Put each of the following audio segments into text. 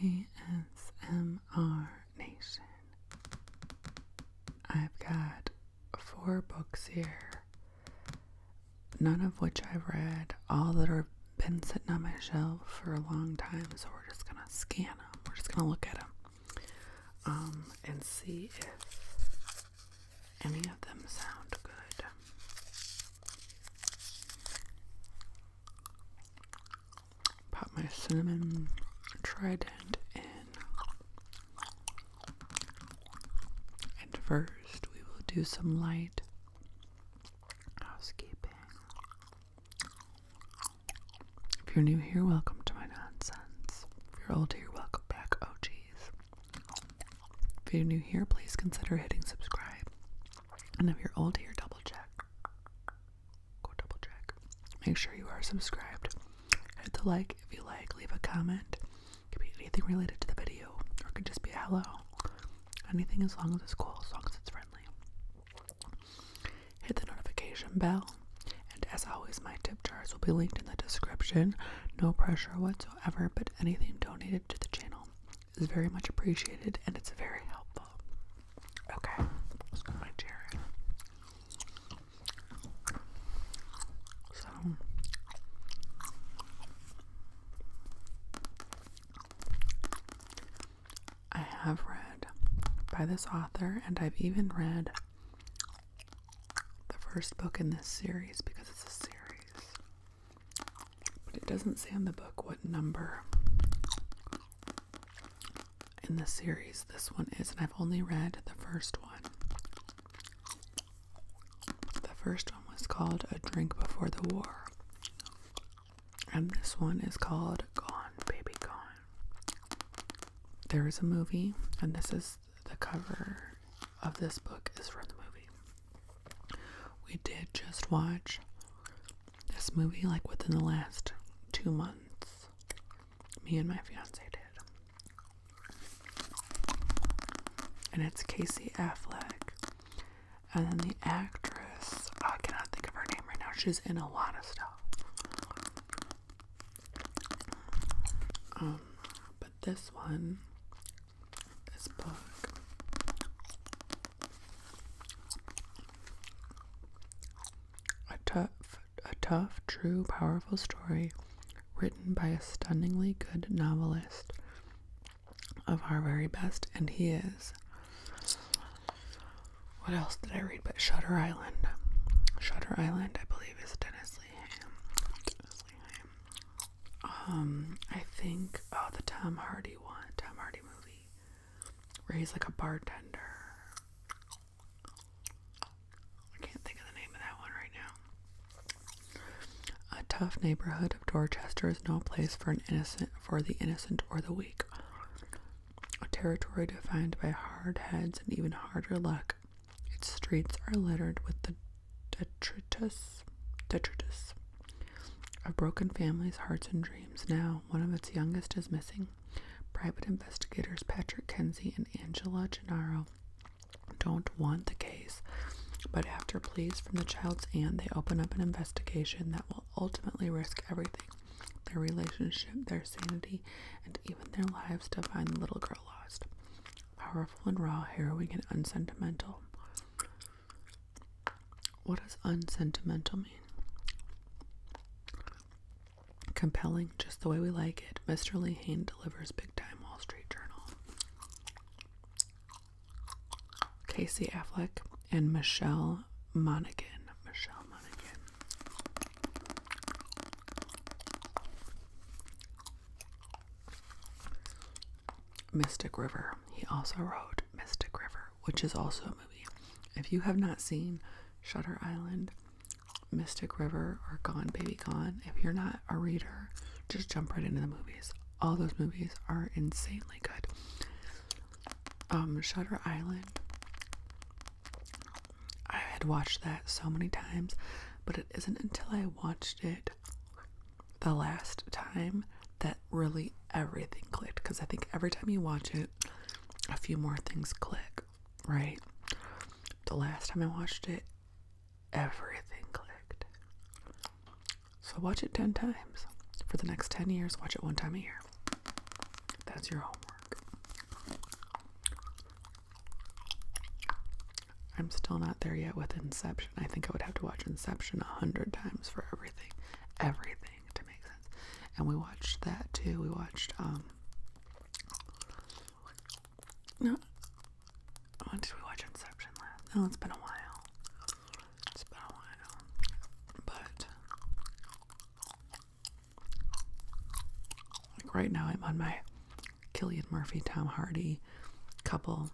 ASMR Nation. I've got four books here, none of which I've read, all that are been sitting on my shelf for a long time, so we're just gonna scan them. We're just gonna look at them um, and see if any of them sound good. Pop my cinnamon trident in. And first, we will do some light housekeeping. If you're new here, welcome to my nonsense. If you're old here, welcome back. Oh, geez. If you're new here, please consider hitting subscribe. And if you're old here, double check. Go double check. Make sure you are subscribed. Hit the like if you like. Leave a comment. could be anything related to the video, or it could just be a hello. Anything as long as it's cool, as long as it's friendly. Hit the notification bell. And as always, my tip jars will be linked in the description. No pressure whatsoever, but anything donated to the channel is very much appreciated and it's very helpful. Okay, my chair. So I have read by this author, and I've even read the first book in this series because it's a series. But it doesn't say on the book what number in the series this one is, and I've only read the first one. The first one was called A Drink Before the War, and this one is called Gone, Baby Gone. There is a movie, and this is the cover of this book is from the movie. We did just watch this movie like within the last two months. Me and my fiance did. And it's Casey Affleck. And then the actress, I cannot think of her name right now. She's in a lot of stuff. Um, this one, this book, a tough, a tough, true, powerful story written by a stunningly good novelist of our very best, and he is. What else did I read but Shutter Island? Shutter Island, I believe, is Dennis Lee Dennis um, I think oh the Tom Hardy one, Tom Hardy movie, where he's like a bartender. I can't think of the name of that one right now. A tough neighborhood of Dorchester is no place for an innocent, for the innocent or the weak. A territory defined by hard heads and even harder luck its streets are littered with the detritus, detritus of broken families' hearts and dreams. Now, one of its youngest is missing. Private investigators Patrick Kenzie and Angela Gennaro don't want the case, but after pleas from the child's aunt, they open up an investigation that will ultimately risk everything their relationship, their sanity, and even their lives to find the little girl lost. Powerful and raw, harrowing and unsentimental. What does unsentimental mean? Compelling, just the way we like it. Mr. Lee Hain delivers big time Wall Street Journal. Casey Affleck and Michelle Monaghan. Michelle Monaghan. Mystic River. He also wrote Mystic River, which is also a movie. If you have not seen Shutter Island, Mystic River, or Gone Baby Gone, if you're not a reader, just jump right into the movies. All those movies are insanely good. Um, Shutter Island I had watched that so many times, but it isn't until I watched it the last time that really everything clicked. Because I think every time you watch it, a few more things click, right? The last time I watched it, everything clicked. So watch it 10 times. For the next 10 years, watch it one time a year. That's your homework. I'm still not there yet with Inception. I think I would have to watch Inception a hundred times for everything, everything to make sense. And we watched that too. We watched um. No. When did we watch Inception last? Oh, it's been a while. It's been a while, but like right now, I'm on my Killian Murphy, Tom Hardy couple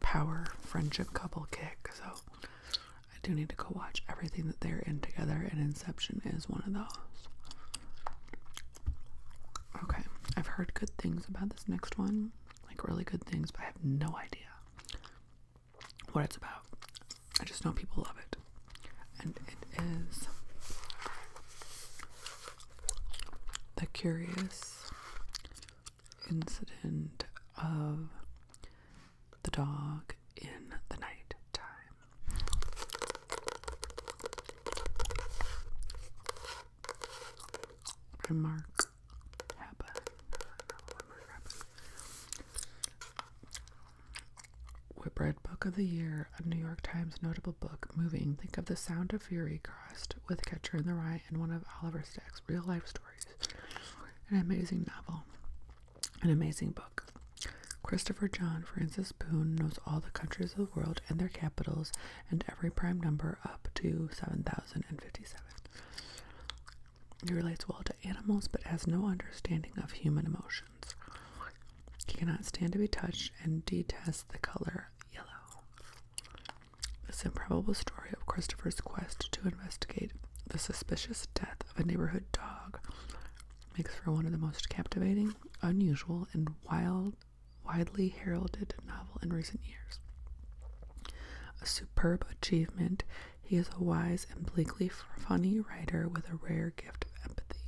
power friendship couple kick. So I do need to go watch everything that they're in together, and Inception is one of those. Okay, I've heard good things about this next one, like really good things, but I have no idea what it's about. I just know people love it and it is The Curious Incident of the Dog in the Night Time. By Mark Happa. Whitbread Book of the Year, a New York Times notable book, moving. Think of the Sound of Fury crossed with Catcher in the Rye and one of Oliver Stack's real life stories. An amazing novel. An amazing book. Christopher John Francis Boone knows all the countries of the world and their capitals and every prime number up to 7057. He relates well to animals but has no understanding of human emotion. He cannot stand to be touched and detests the color yellow. This improbable story of Christopher's quest to investigate the suspicious death of a neighborhood dog makes for one of the most captivating, unusual, and wild, widely heralded novel in recent years. A superb achievement, he is a wise and bleakly funny writer with a rare gift of empathy.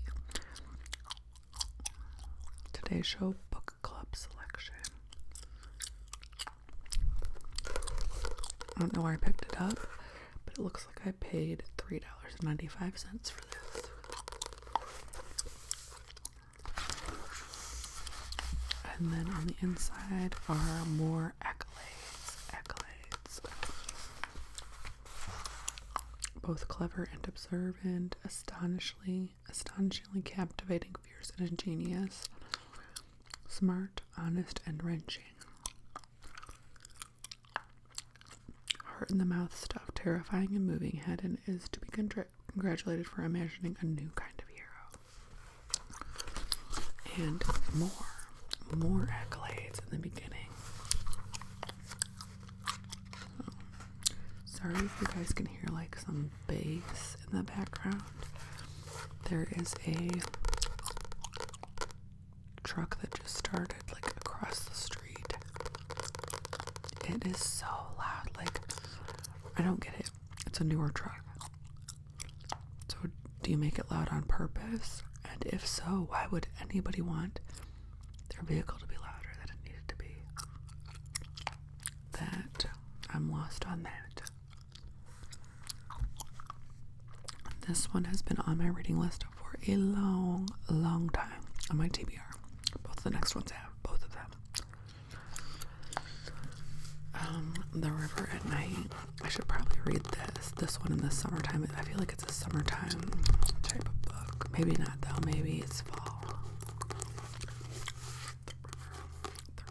Today's show book club selection. I don't know where I picked it up, but it looks like I paid $3.95 for this. And then on the inside are more accolades. Accolades both clever and observant, astonishingly, astonishingly captivating, fierce and ingenious, smart, honest, and wrenching. Heart in the mouth stuff, terrifying and moving. Hedden is to be congratulated for imagining a new kind of hero. And more, more accolades in the beginning sorry if you guys can hear like some bass in the background. There is a truck that just started like across the street. It is so loud. Like, I don't get it. It's a newer truck. So, do you make it loud on purpose? And if so, why would anybody want their vehicle to be louder than it needed to be. That I'm lost on that. This one has been on my reading list for a long, long time on my TBR. Both the next ones have, both of them. Um, the river at night. I should probably read this. This one in the summertime. I feel like it's a summertime type of book. Maybe not though. Maybe it's fall.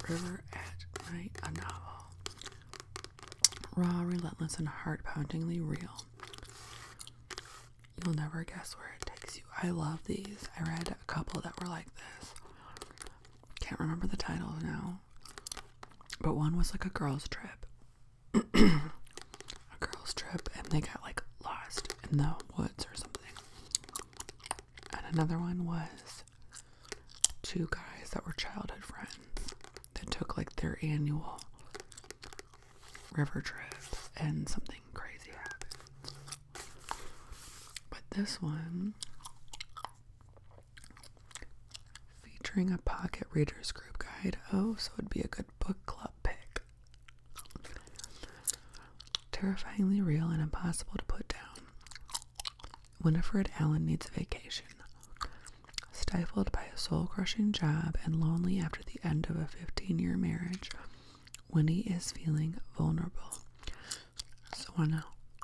the river at night, a novel. Raw, relentless, and heart-poundingly real. You'll never guess where it takes you. I love these. I read a couple that were like this. Can't remember the titles now. But one was like a girls' trip a girls' trip and they got like lost in the woods or something. And another one was two guys that were childhood friends that took like their annual river trip and something crazy happened. But this one featuring a pocket readers group guide. Oh, so it'd be a good book club pick. Terrifyingly real and impossible to put down. Winifred Allen needs a vacation. Stifled by a soul crushing job and lonely after the end of a 15 year marriage, Winnie is feeling vulnerable. So, when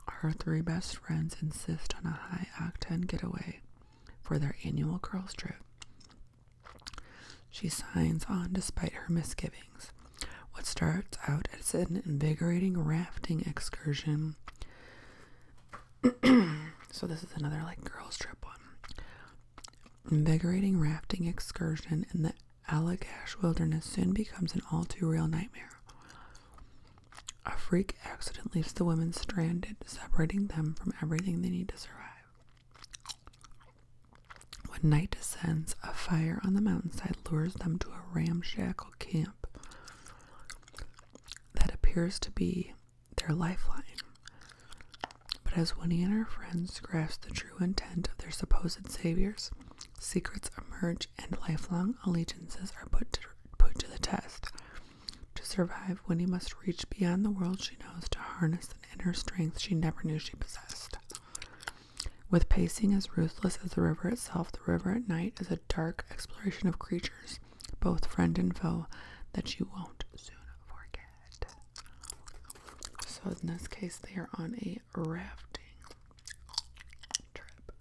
her three best friends insist on a high octane getaway, for their annual girls' trip. She signs on despite her misgivings. What starts out as an invigorating rafting excursion. so, this is another like girls' trip one. Invigorating rafting excursion in the Allegash Wilderness soon becomes an all too real nightmare. A freak accident leaves the women stranded separating them from everything they need to survive. When night descends, a fire on the mountainside lures them to a ramshackle camp that appears to be their lifeline. But as Winnie and her friends grasp the true intent of their supposed saviors, secrets emerge and lifelong allegiances are put to, the test. To survive, Winnie must reach beyond the world she knows to harness an inner strength she never knew she possessed. With pacing as ruthless as the river itself, the river at night is a dark exploration of creatures, both friend and foe, that she won't soon forget. So, in this case, they are on a rafting trip.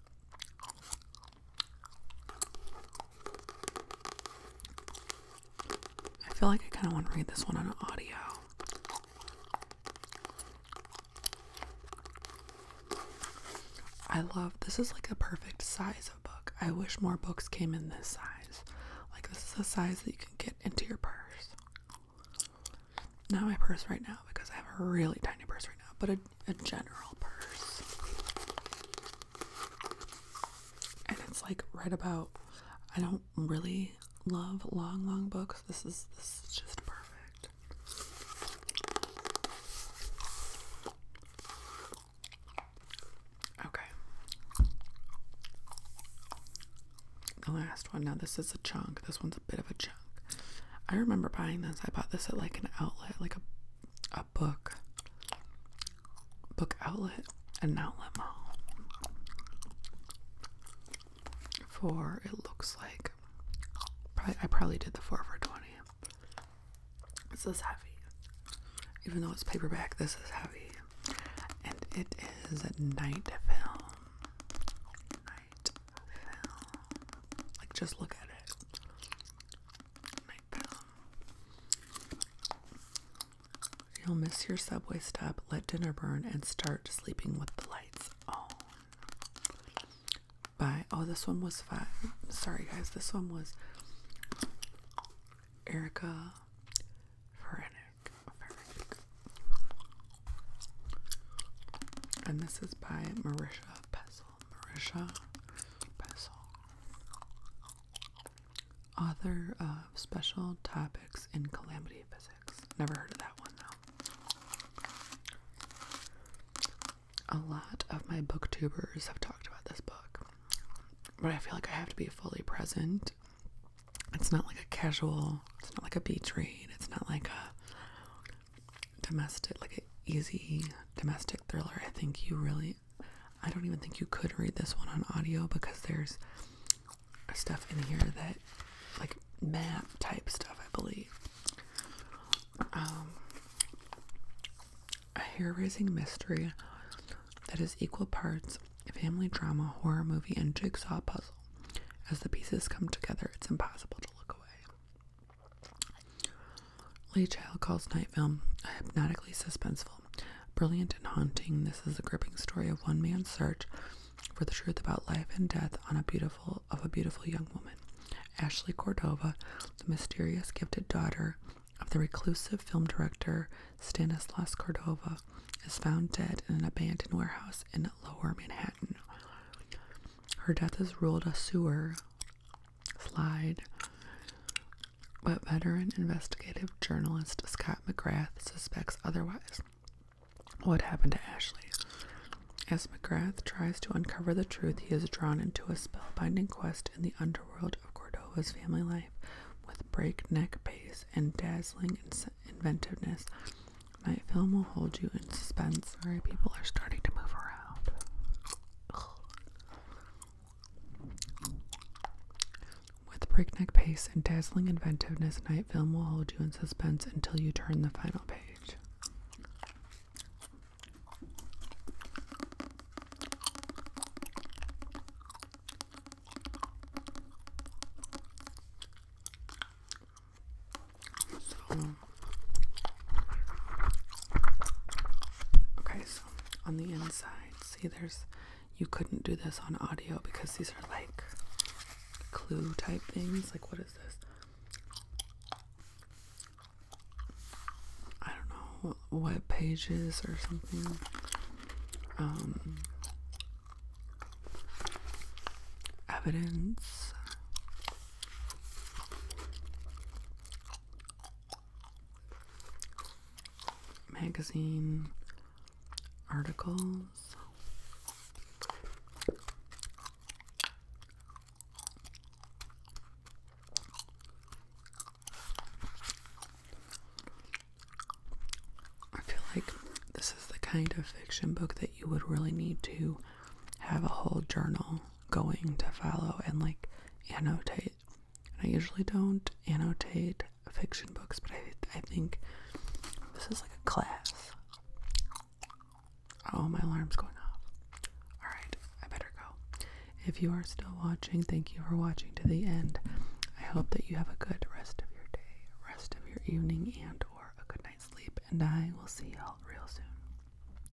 I feel like I kind of want to read this one on audio. I love this is like the perfect size of book. I wish more books came in this size. Like this is the size that you can get into your purse. Not my purse right now because I have a really tiny purse right now, but a, a general purse and it's like right about I don't really love long long books. This is this is just perfect. Okay. The last one. Now this is a chunk. This one's a bit of a chunk. I remember buying this. I bought this at like an outlet, like a book book outlet and outlet mall for it looks like I probably did the 4 for 20 this is heavy even though it's paperback this is heavy and it is a night film night film like just look at it You'll miss your subway stop, let dinner burn, and start sleeping with the lights on. Bye. Oh, this one was five. Sorry, guys. This one was Erica Ferenic. And this is by Marisha Pessel. Marisha Pessel. Author of Special Topics in Calamity Physics. Never heard of that one though. A lot of my booktubers have talked about this book, but I feel like I have to be fully present. It's not like a casual, it's not like a beach read, it's not like a domestic, like an easy domestic thriller. I think you really I don't even think you could read this one on audio because there's stuff in here that, like, map type stuff, I believe. Um, a hair raising mystery that is equal parts family drama, horror movie, and jigsaw puzzle. As the pieces come together, it's impossible to look away. Lee Child calls Night Film a hypnotically suspenseful. Brilliant and haunting, this is a gripping story of one man's search for the truth about life and death on a beautiful of a beautiful young woman. Ashley Cordova, the mysterious gifted daughter of the reclusive film director Stanislas Cordova, is found dead in an abandoned warehouse in lower Manhattan. Her death is ruled a sewer slide. But veteran investigative journalist Scott McGrath suspects otherwise. What happened to Ashley? As McGrath tries to uncover the truth, he is drawn into a spellbinding quest in the underworld of Cordova's family life with breakneck pace and dazzling inventiveness. Night film will hold you in suspense. Sorry, people are starting to move around. With breakneck pace and dazzling inventiveness, Night Film will hold you in suspense until you turn the final page. Okay, so on the inside, see there's you couldn't do this on audio because these are like clue type things. Like what is this? I don't know web pages or something. Um evidence magazine articles. I feel like this is the kind of fiction book that you would really need to have a whole journal going to follow and like annotate. And I usually don't annotate fiction books, but I I think this is like a class. Oh, my alarm's going off. All right, I better go. If you are still watching, thank you for watching to the end. I hope that you have a good rest of your day, rest of your evening, and or a good night's sleep, and I will see y'all real soon.